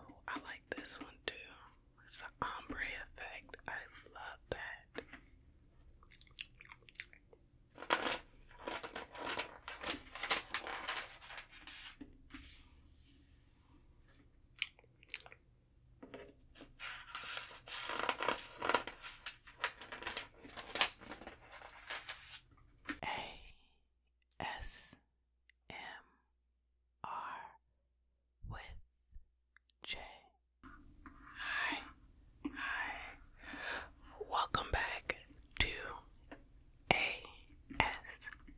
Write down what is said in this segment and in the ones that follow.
Oh, I like this one too. It's the ombre effect. I love that. A S M R with J. Hi. Hi. Welcome back to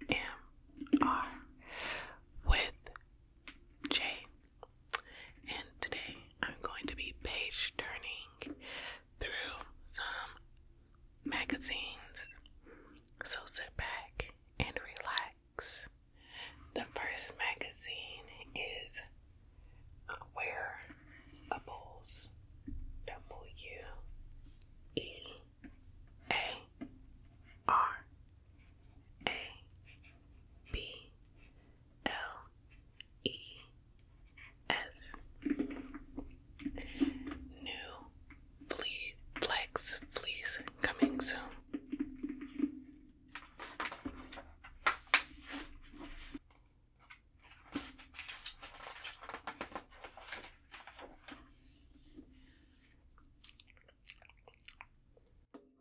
ASMR with J and today I'm going to be page turning through some magazines. So sit back and relax. The first magazine is Wearables W E A R a B L E S New flea flags coming soon.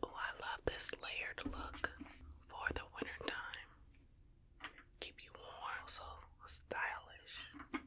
Oh, I love this layered look for the winter time. Keep you warm, so stylish.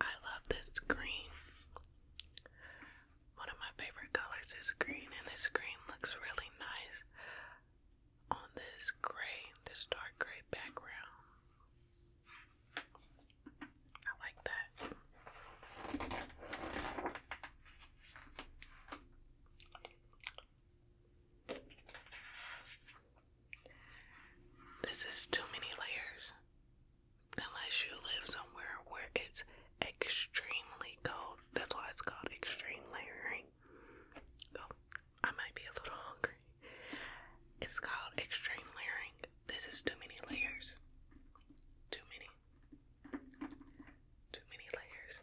I love this green. One of my favorite colors is green, and this green looks really nice on this gray, this dark gray background. I like that. This is too many layers. Unless you live somewhere where it's extremely cold. That's why it's called extreme layering. Oh, I might be a little hungry. It's called extreme layering. This is too many layers. Too many. Too many layers.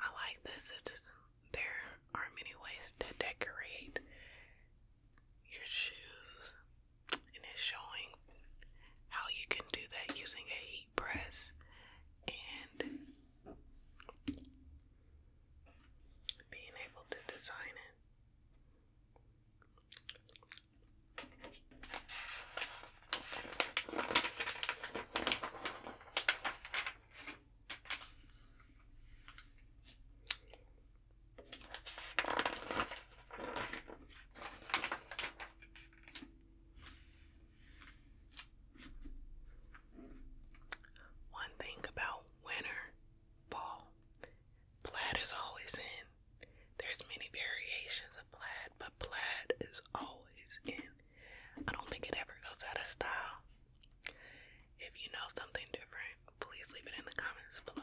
I like this. It's there are many ways to decorate your shoes, and it's showing how you can do that using a heat press and being able to design it. One thing about winter, fall, plaid is always in. There's many variations of plaid, but plaid is always in. I don't think it ever goes out of style. If you know something different, please leave it in the comments below.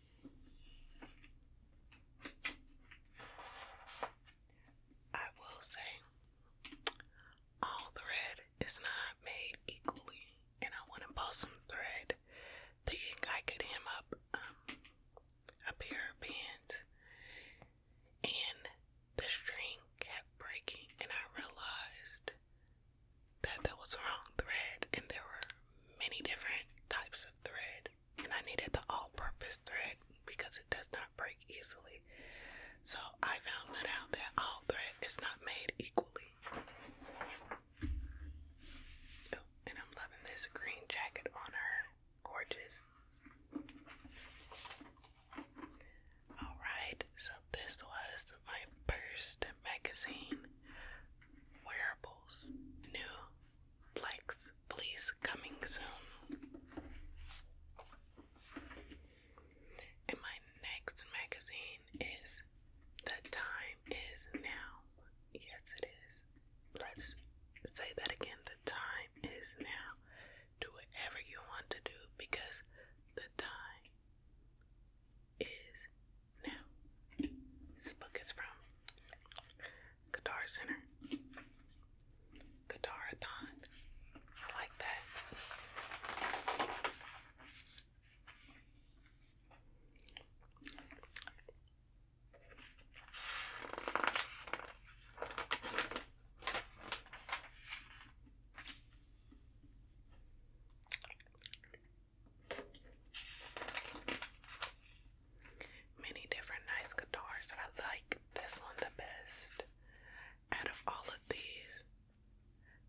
I will say, all thread is not made equally, and I want to pull some thread thinking I could hem up um, a pair of pants, and the string kept breaking, and I realized that there was wrong thread, and there were many different types of thread, and I needed the all purpose thread because it does not break easily. So I found that out that all thread is not made equally. Oh, and I'm loving this green jacket on her. Gorgeous. Alright, so this was my first magazine, Wearables New Plex, please coming soon. And my next magazine is The Time Is Now. Yes, it is. Let's say that again. The time is now. Do whatever you want to do because the time is now, this book is from Guitar Center. Guitarathon. I like that. Many different nice guitars. I like this one the best out of all of these.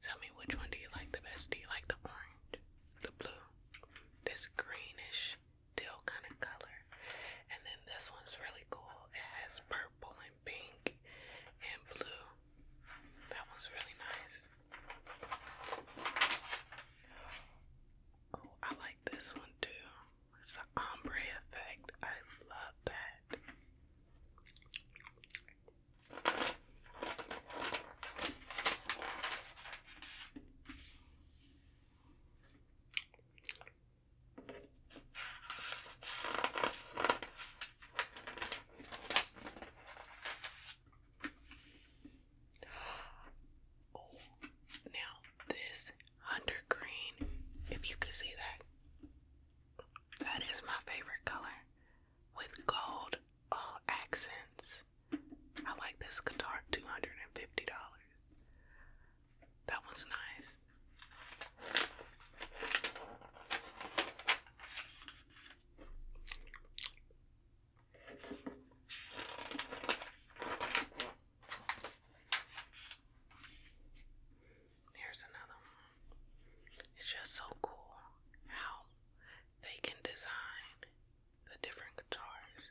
Tell me which one do you like the best? Do you like the orange, the blue, this greenish teal kind of color? And then this one's really cool. It has purple and pink and blue. That one's really nice. Oh, I like this one too. It's an ombre effect. I love that. now this hunter green, if you could see that, that is my favorite color with gold uh, accents. I like this guitar, $250. That one's nice. Here's another one. It's just so cool how they can design the different guitars.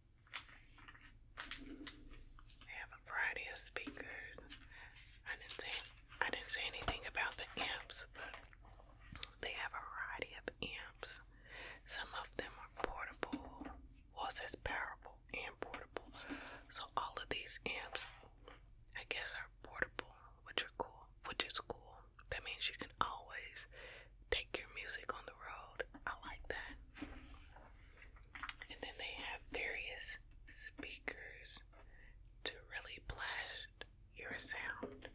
They have a variety of speakers. I didn't say I didn't say anything about the amps, but they have a variety of amps. Some of them are portable. Well, it says portable and portable. So all of these amps, I guess, are portable, which are cool. Which is cool. That means you can always take your music on the road. I like that. And then they have various speakers to really blast your sound.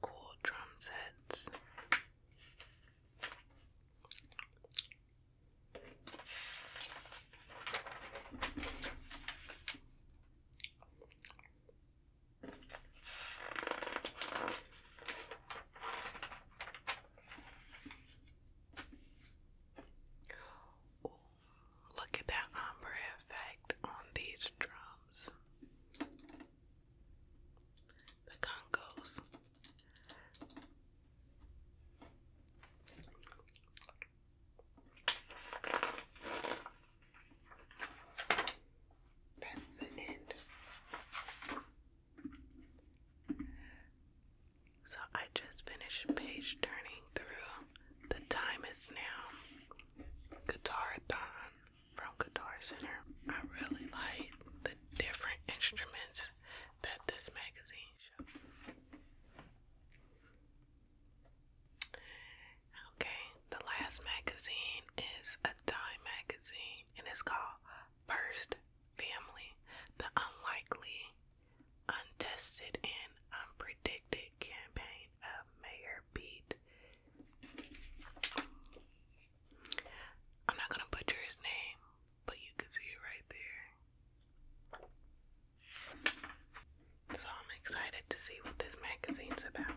Cool drum sets. Ooh, look at that ombre effect on these drums. The Congos. That's the end. So I just finished page turning through. The time is now. guitar from Guitar Center. I really like the different instruments that this magazine shows. Okay, the last magazine is a Time magazine and it's called First Family The Unlikely, Untested, and Unpredicted Campaign of Mayor Pete. I'm not gonna butcher his name, but you can see it right there. So I'm excited to see what this magazine's about.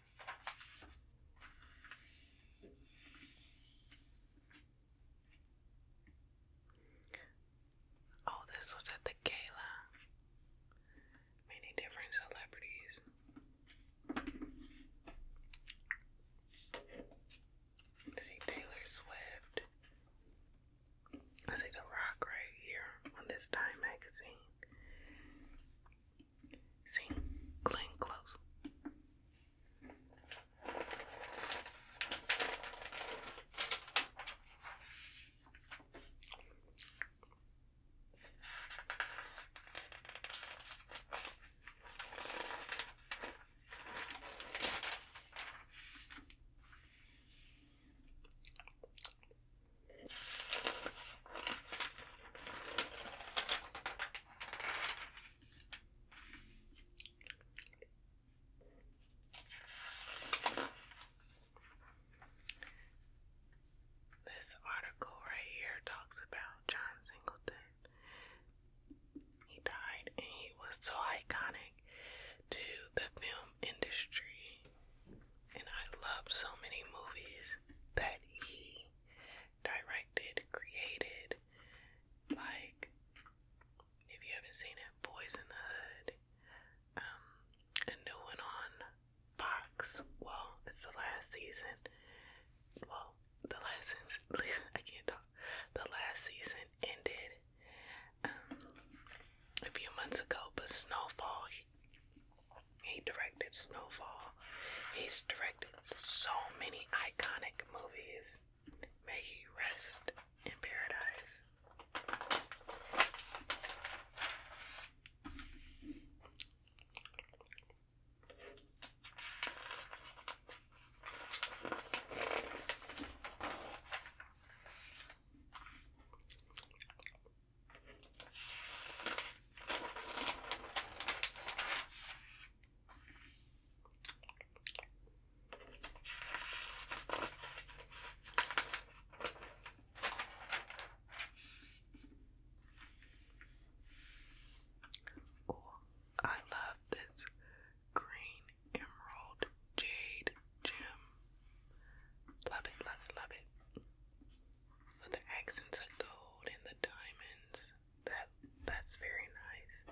Oh, this was at the gala. Many different celebrities. I see Taylor Swift. I see The Rock right here on this Time magazine. See? Clean close. This article right here talks about John Singleton. He died and he was so iconic to the film industry. And I love so many movies that he directed, created. Like, if you haven't seen it, Boys in the Hood, um, a new one on Fox. Well, it's the last season. Well, the last season, I can't talk. The last season ended um, a few months ago, but Snowfall he directed Snowfall. He's directed so many iconic movies. May he rest in paradise. I love this green emerald jade gem. Love it, love it, love it. With the accents of gold and the diamonds, that that's very nice.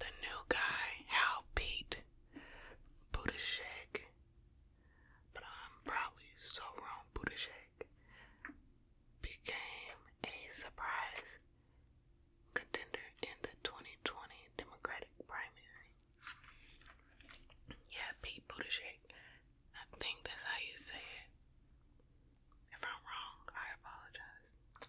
the new guy, Hal Pete Buttigieg. But I'm probably so wrong, Buttigieg became a surprise contender in the 2020 Democratic primary. Yeah, Pete Buttigieg. I think that's how you say it. If I'm wrong, I apologize.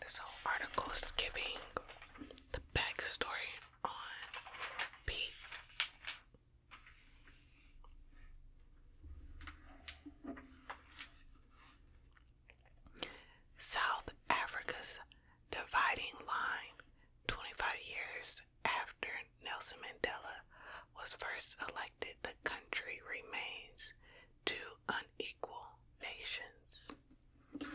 This whole article is giving the backstory on South Africa's dividing line 25 years after Nelson Mandela was first elected, the country remains two unequal nations it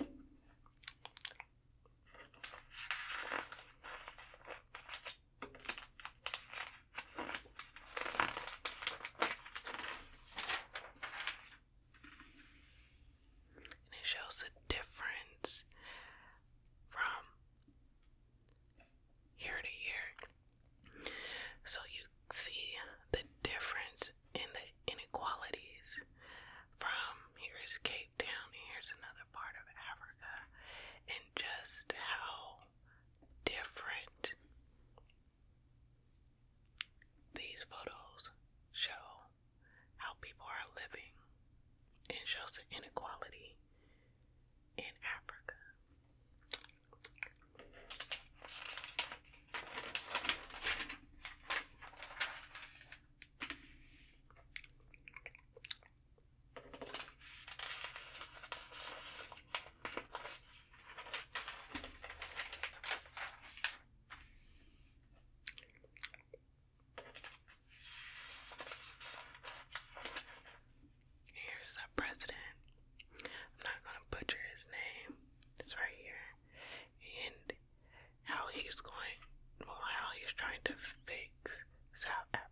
shows the difference from year to year. So you see the difference and the inequalities from here's Cape Town, here's another part of Africa, and just how different these photos show how people are living and shows the inequality in Africa. Here's the president. I'm not gonna butcher his name. It's right here. And how he's going, well, how he's trying to fix South Africa.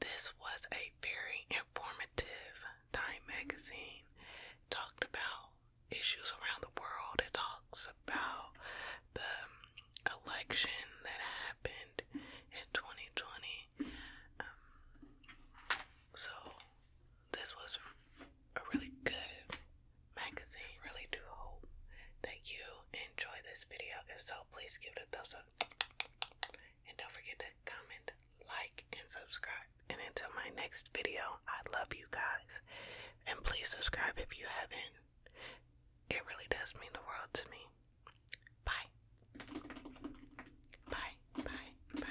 This was a very informative Time magazine. Talked about issues around the world. It talks about the election that happened in 2020. Um, so, this was a really good magazine. Really do hope that you enjoy this video. If so, please give it a thumbs up. And don't forget to comment, like, and subscribe and until my next video, I love you guys. And please subscribe if you haven't. It really does mean the world to me. Bye. Bye, bye, bye.